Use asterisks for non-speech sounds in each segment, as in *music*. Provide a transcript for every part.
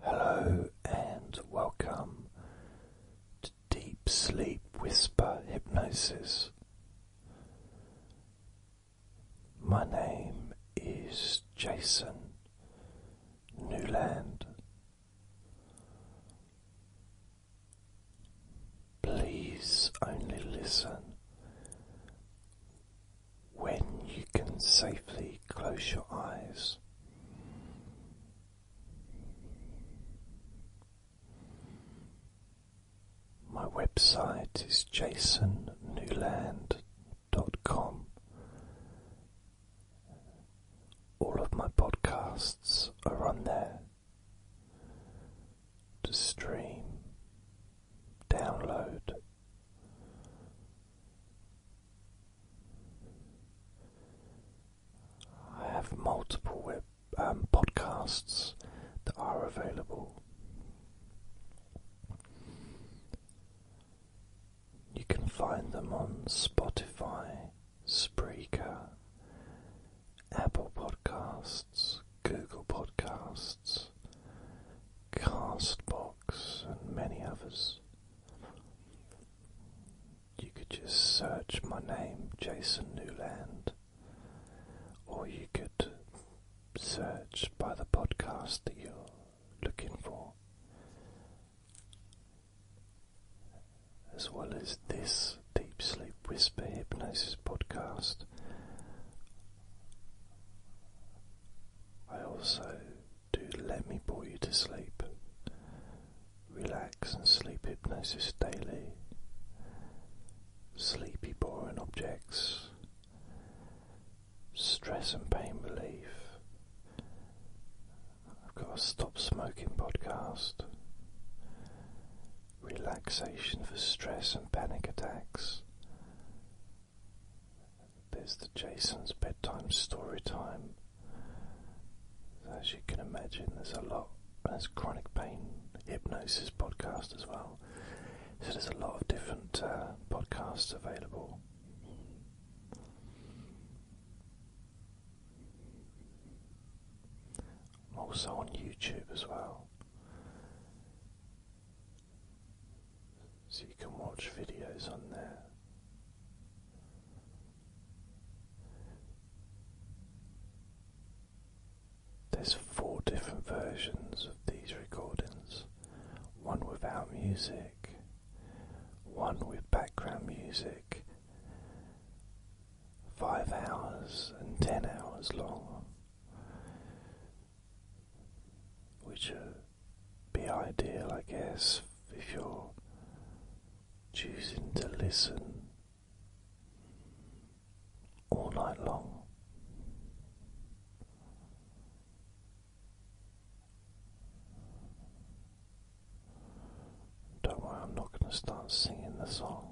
Hello and welcome to Deep Sleep Whisper Hypnosis. My name is Jason Newland. Please only listen when you can safely close your eyes. My website is jasonnewland.com. All of my podcasts are on there to stream, download. I have multiple web um, podcasts that are available. You can find them on Spotify, Spreaker, Apple Podcasts, Google Podcasts, Castbox, and many others. You could just search my name, Jason Newland, or you could search by the podcast that you're looking for, as well as this Deep Sleep Whisper Hypnosis podcast. I also do let me bore you to sleep. Relax and sleep hypnosis daily. Sleepy boring objects. Stress and pain relief. I've got a stop smoking podcast. Relaxation for stress and panic attacks. There's the Jason's bedtime story time. As you can imagine, there's a lot. There's chronic pain hypnosis podcast as well. So there's a lot of different uh, podcasts available. I'm also on YouTube as well so you can watch videos on there. There's four different versions of these recordings one without music, one with background music, five hours and ten hours long, which are be ideal, I guess, if you're choosing to listen all night long. Don't worry, I'm not going to start singing the song.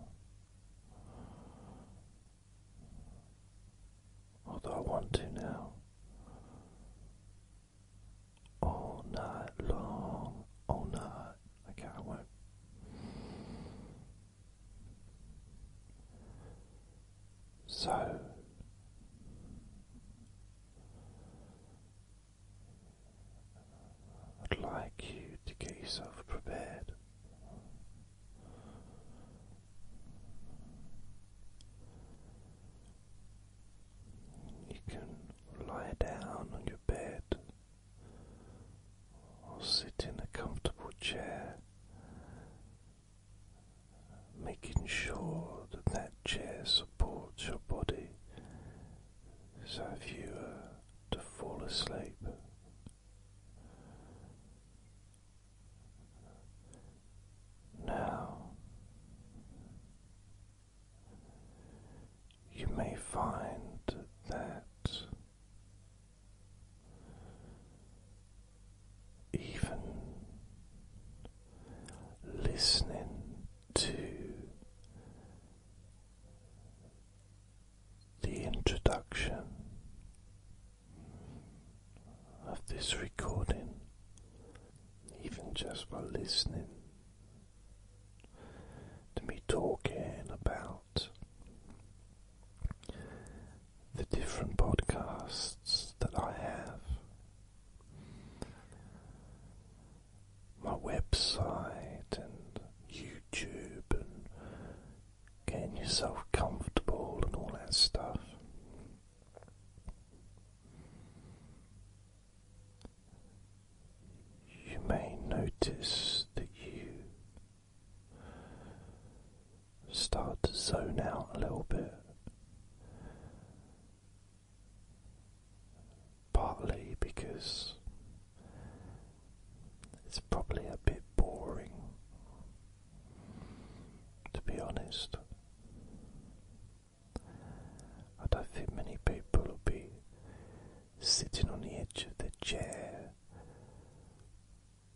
Although I want to now, all night long, all night. Okay, I won't. So I'd like you to get yourself prepared. You can lie down on your bed or sit in a comfortable chair, making sure that that chair supports your body. So if you were to fall asleep, now, you may find that even listening to the introduction of this recording, even just by listening to me talking about the different podcasts that I have. My website and YouTube and getting yourself comfortable and all that stuff. You may notice that you start to zone out a little bit. Partly because it's probably a bit boring to be honest. I don't think many people will be sitting on the edge of their chair,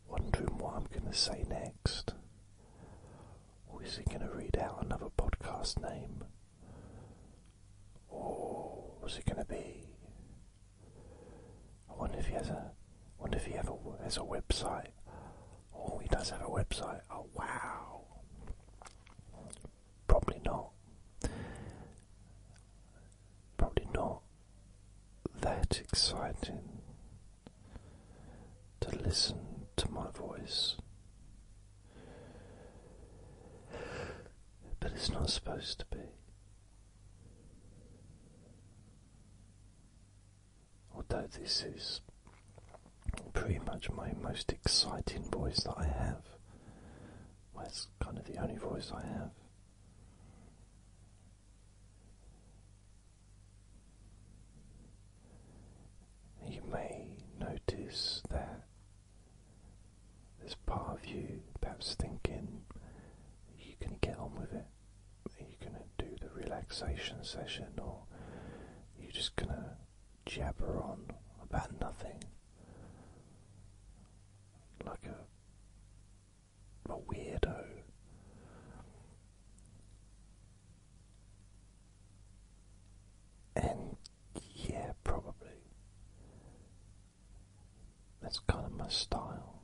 wondering what I'm going to say next. Or is he going to read out another podcast name? Or is it going to be? I wonder if he has a. Wonder if he ever has a website. Oh, he does have a website. Oh, wow. Probably not. Probably not that exciting to listen to my voice. But it's not supposed to be although this is pretty much my most exciting voice that I have. Well, it's kind of the only voice I have. You may notice that there's part of you perhaps thinking you can get on with it you're going to do the relaxation session or you're just going to jabber on about nothing like a, a weirdo. And yeah, probably. That's kind of my style,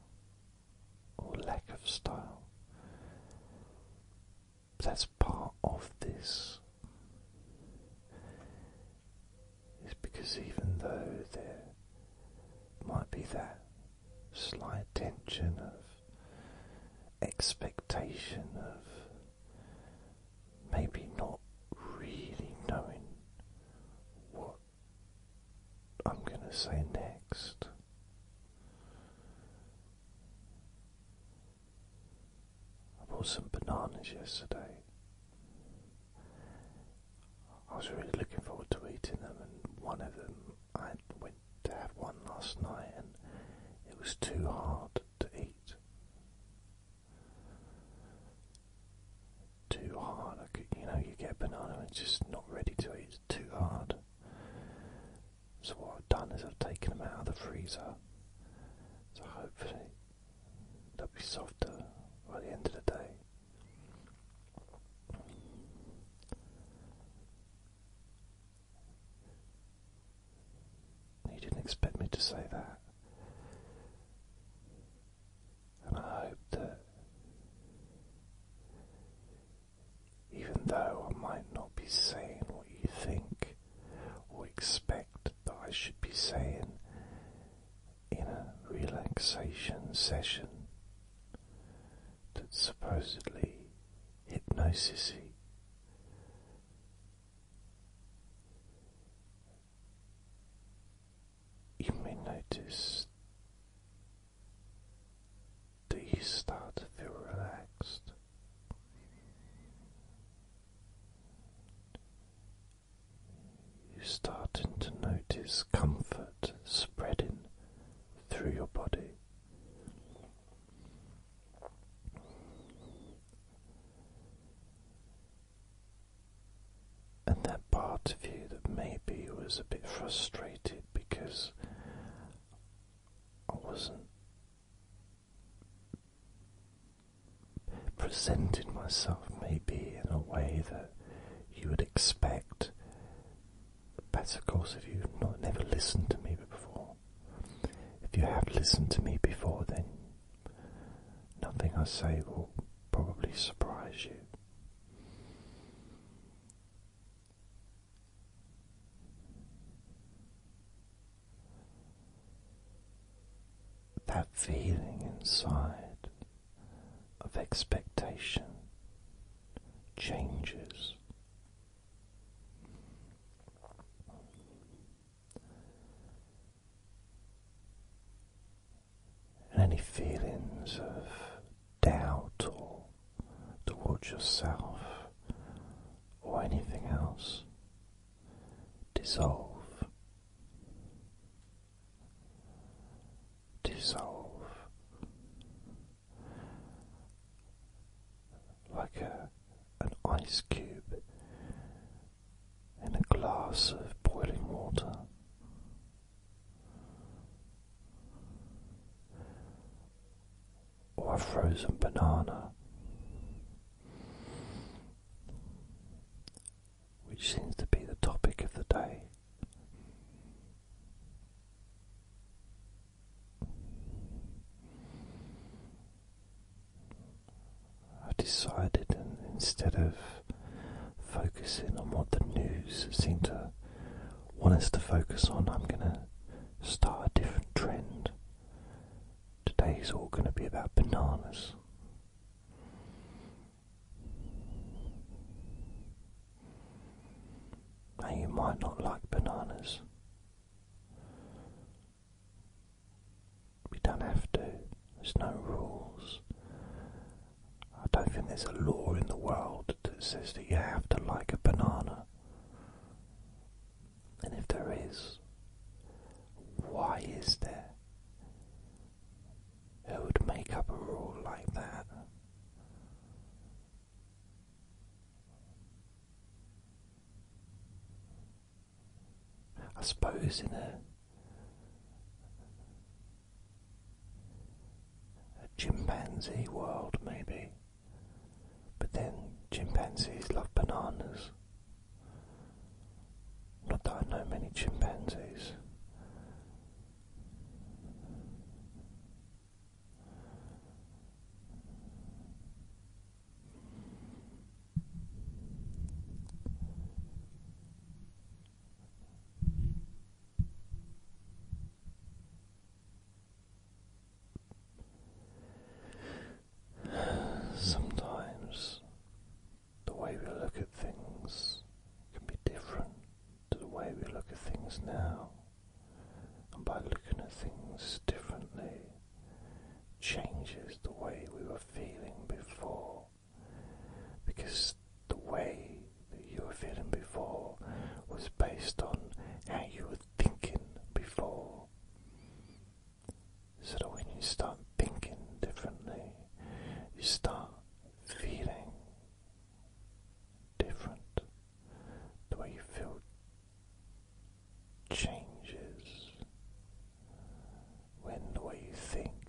or lack of style that's part of this. Is because even though there might be that slight tension of expectation of maybe not really knowing what I'm going to say next. I bought some bananas yesterday. I was really looking forward to eating them, and one of them I went to have one last night, and it was too hard to eat. Too hard. I you know, you get a banana and it's just not ready to eat too hard. So what I've done is I've taken them out of the freezer. So hopefully they'll be softer by the end of the day. You didn't expect me to say that. And I hope that even though I might not be saying what you think or expect that I should be saying in a relaxation session that's supposedly hypnosis You may notice do you start to feel relaxed? You're starting to notice comfort spreading through your body. And that part of you that maybe was a bit frustrated because I wasn't presenting myself maybe in a way that you would expect. Better course if you've not never listened to me before. If you have listened to me before, then nothing I say will probably surprise you. That feeling inside of expectation changes. And any feelings of doubt or towards yourself or anything else dissolve, dissolve like an ice cube in a glass of boiling water or a frozen banana, which seems to be the topic of the day. I have decided, instead of focusing on what the news seemed to want us to focus on, I'm going to start a different trend. Today is all going to be about bananas. Now, you might not like bananas. We don't have to, there's no rules. I don't think there's a law in the world that says that you have to like a banana. And if there is, why is there? Who would make up a rule like that? I suppose in a a chimpanzee world, maybe. But then chimpanzees love bananas. Not that I know many chimpanzees. Sometimes the way we look at things can be different to the way we look at things now, and by looking at things differently, changes the way we were feeling before because the way that you were feeling before was based on how you were thinking before. So that when you start thinking differently, you start feeling different. The way you feel changes when the way you think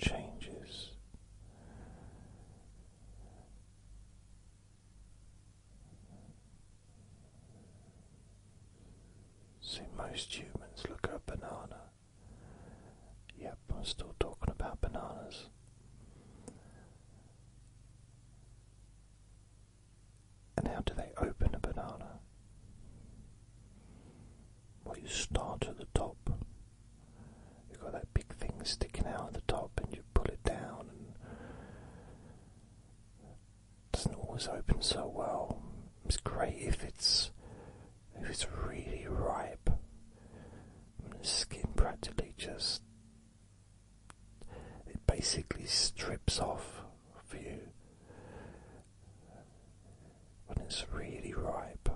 changes. See, most humans look at a banana. Yep, I'm still talking about bananas. And how do they open a banana? Well, you start at the top. You've got that big thing sticking out at the top, and you pull it down, doesn't always open so well. It's great if it's if it's really ripe. The skin practically just it basically strips off for you when it's really ripe.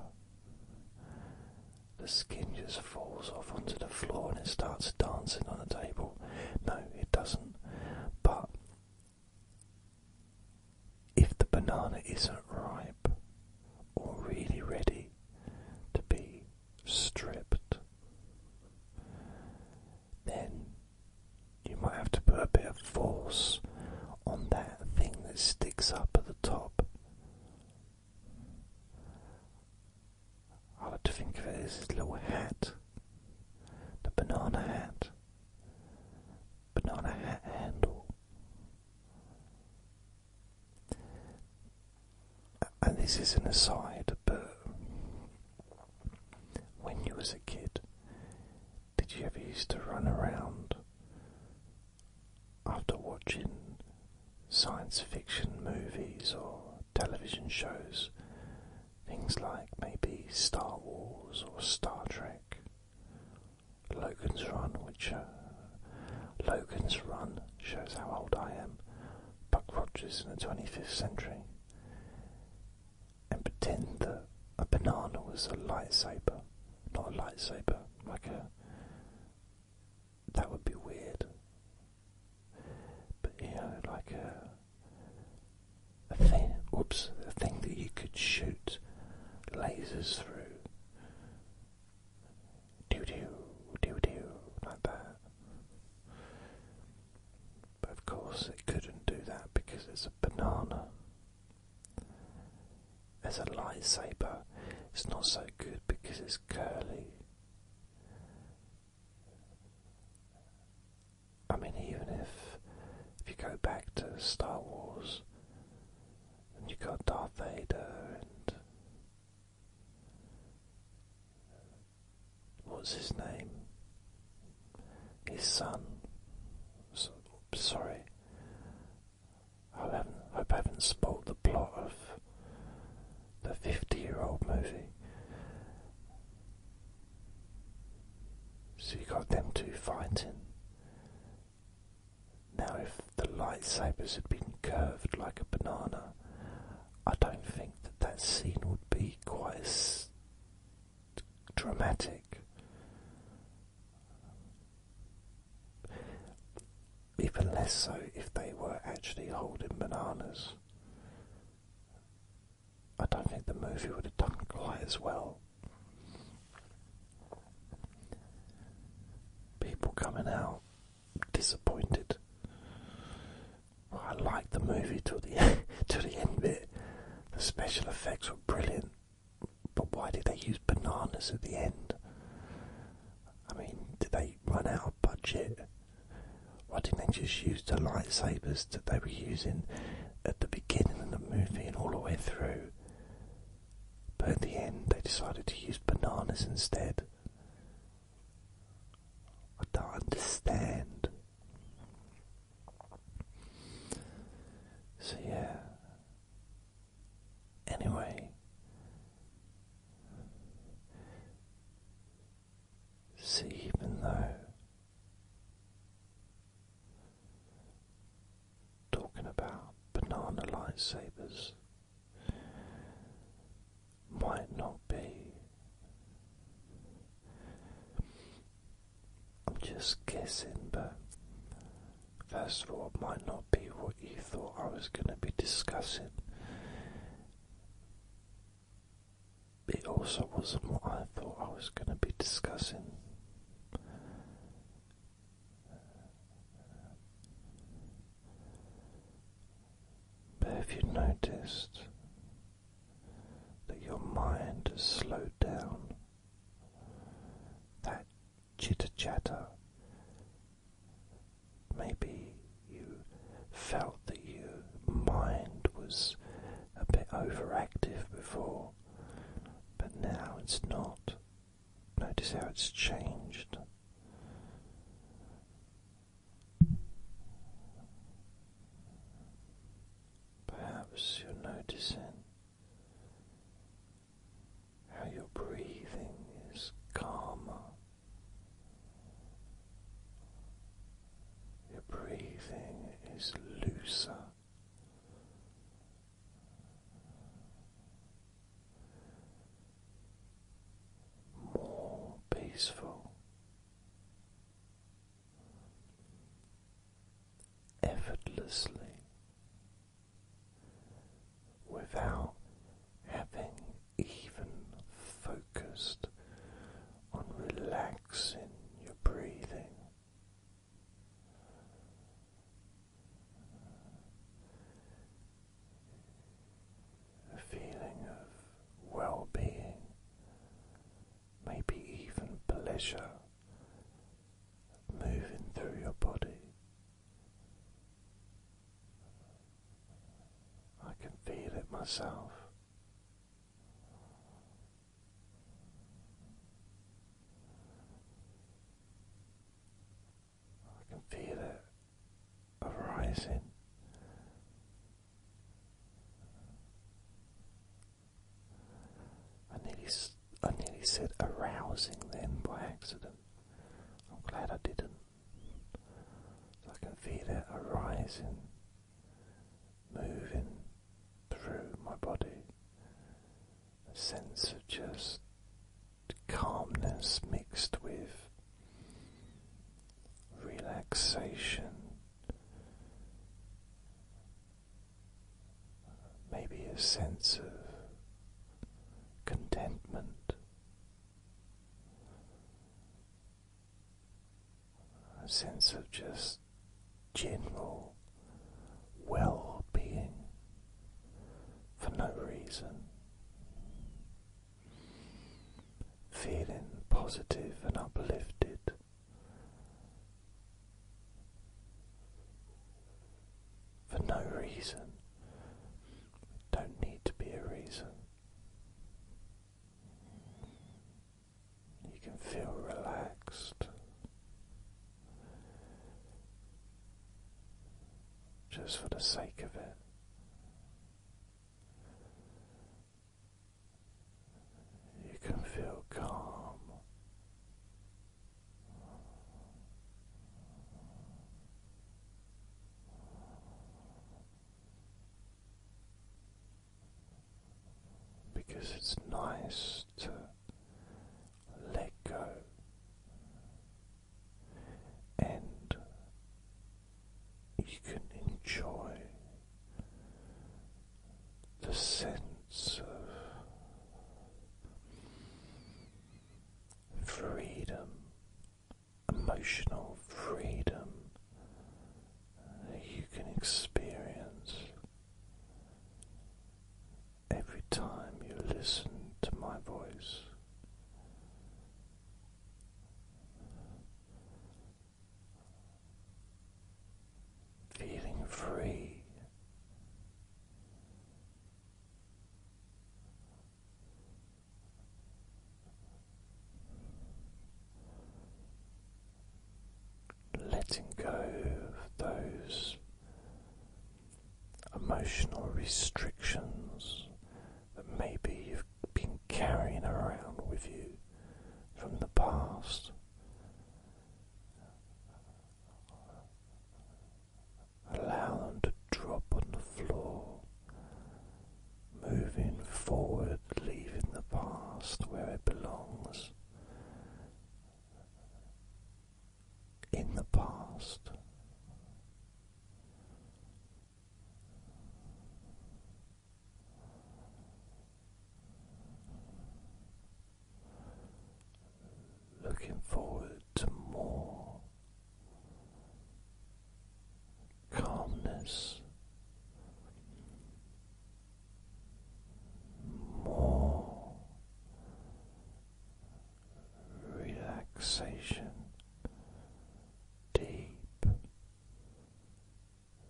The skin just falls off onto the floor and it starts dancing on the table. No, it doesn't. But if the banana isn't ripe or really ready to be stripped, then you might have to put a bit of force on that thing that sticks up at the top. I like to think of it as his little hat, the banana hat, banana hat handle. And this is an aside, but when you was a kid, did you ever used to run around after watching science fiction movies or television shows, things like maybe Star Wars or Star Trek, Logan's Run, which uh, Logan's Run shows how old I am, Buck Rogers in the 25th century, and pretend that a banana was a lightsaber, not a lightsaber, like a that would be weird. But you know, like a, thing, oops, a thing that you could shoot lasers through. Doo doo, doo doo, like that. But of course, it couldn't do that because it's a banana. As a lightsaber, it's not so good because it's curly. I mean, even if if you go back to Star Wars, and you got Darth Vader and what's his name? His son. sorry, I haven't. Hope I haven't spoiled the plot of the 50 year old movie. So you got them two fighting. Now, if the lightsabers had been curved like a banana, I don't think that that scene would be quite as dramatic. Even less so if they were actually holding bananas. I don't think the movie would have done quite as well. People coming out disappointed. I liked the movie to the *laughs* till the end bit. The special effects were brilliant, but why did they use bananas at the end? I mean, did they run out of budget? Why didn't they just use the lightsabers that they were using at the beginning of the movie and all the way through? But at the end, they decided to use bananas instead. I don't understand. So, yeah. Anyway, See, even though talking about banana lightsabers might not be, I'm just guessing, but first of all, might not be what you thought I was going to be discussing it also wasn't what I thought I was going to be discussing. But if you noticed that your mind has slowed down? That chitter chatter Maybe you felt that your mind was a bit overactive before, but now it's not. Notice how it's changed. Perhaps you're noticing how your breathing is calmer your breathing is looser. More peaceful, effortlessly, without having even focused on relaxing your breathing. A feeling of well being, maybe even pleasure moving through your body. I can feel it myself. I can feel it arising. I nearly, I nearly said arousing then by accident. I'm glad I didn't. I can feel it arising, moving through my body. A sense of just calmness mixed with relaxation. Maybe a sense of contentment a sense of just general well being for no reason. Feeling positive and uplifted. For no reason. Don't need to be a reason. You can feel relaxed. Just for the sake of it, you can feel calm because it's nice to let go and you can enjoy the sense of freedom emotional freedom you can experience every time you listen to my voice. Feeling free Letting go of those emotional restrictions that maybe you've been carrying around with you from the past. Allow them to drop on the floor, moving forward, leaving the past where it belongs. In the past, looking forward to more calmness, more relaxation, deep,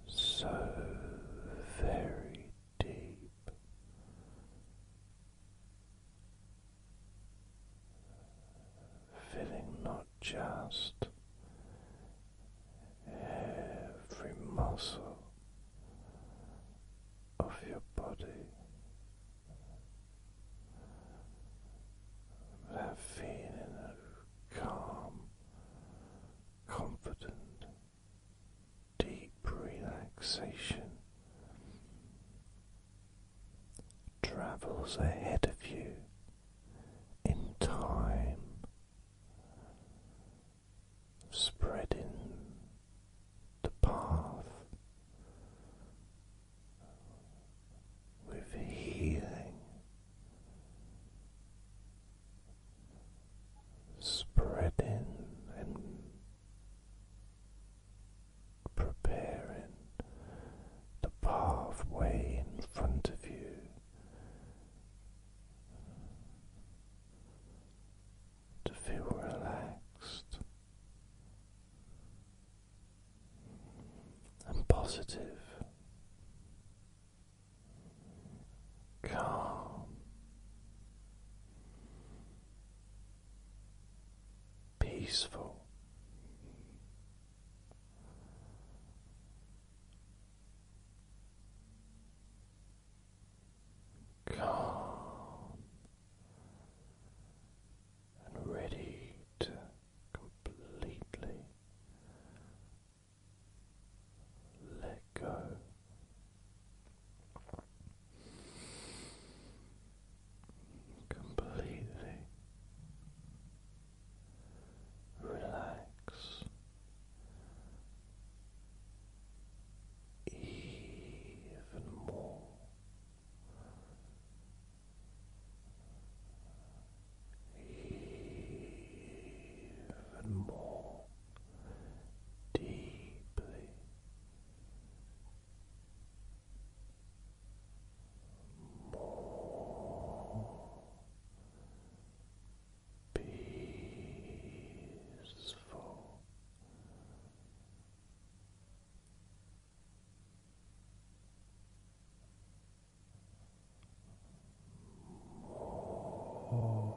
so very deep. Feeling not just every muscle of your body. That feeling of calm, confident, deep relaxation travels ahead of you in time, spreading the path with healing, spreading and preparing the pathway in front of you. To feel relaxed and positive, calm, peaceful. Calm and ready to completely let go. Completely relax even more. Even more deeply, more peaceful. More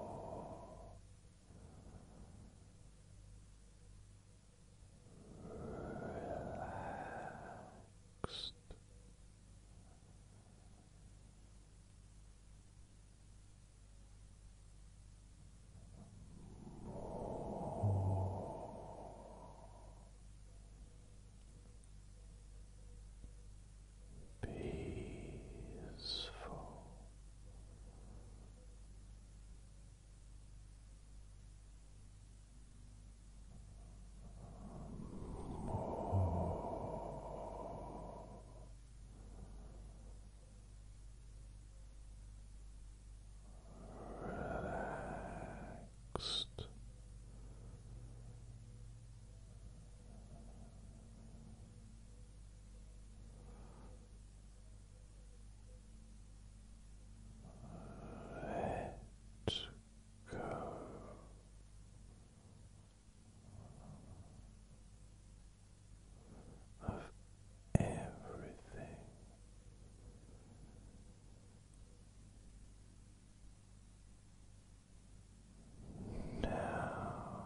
relaxed rest. Peaceful relaxed. Let go. Of everything now,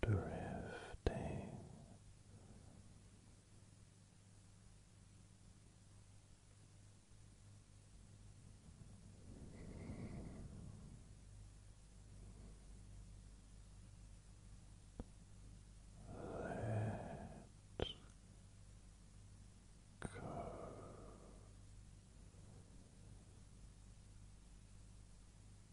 drifting. let go.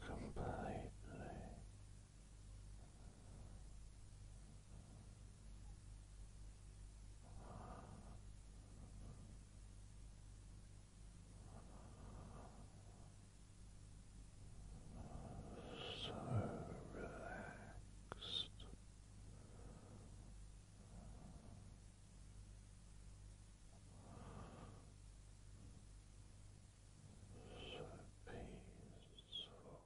Completely. Relax. So relaxed. So peaceful.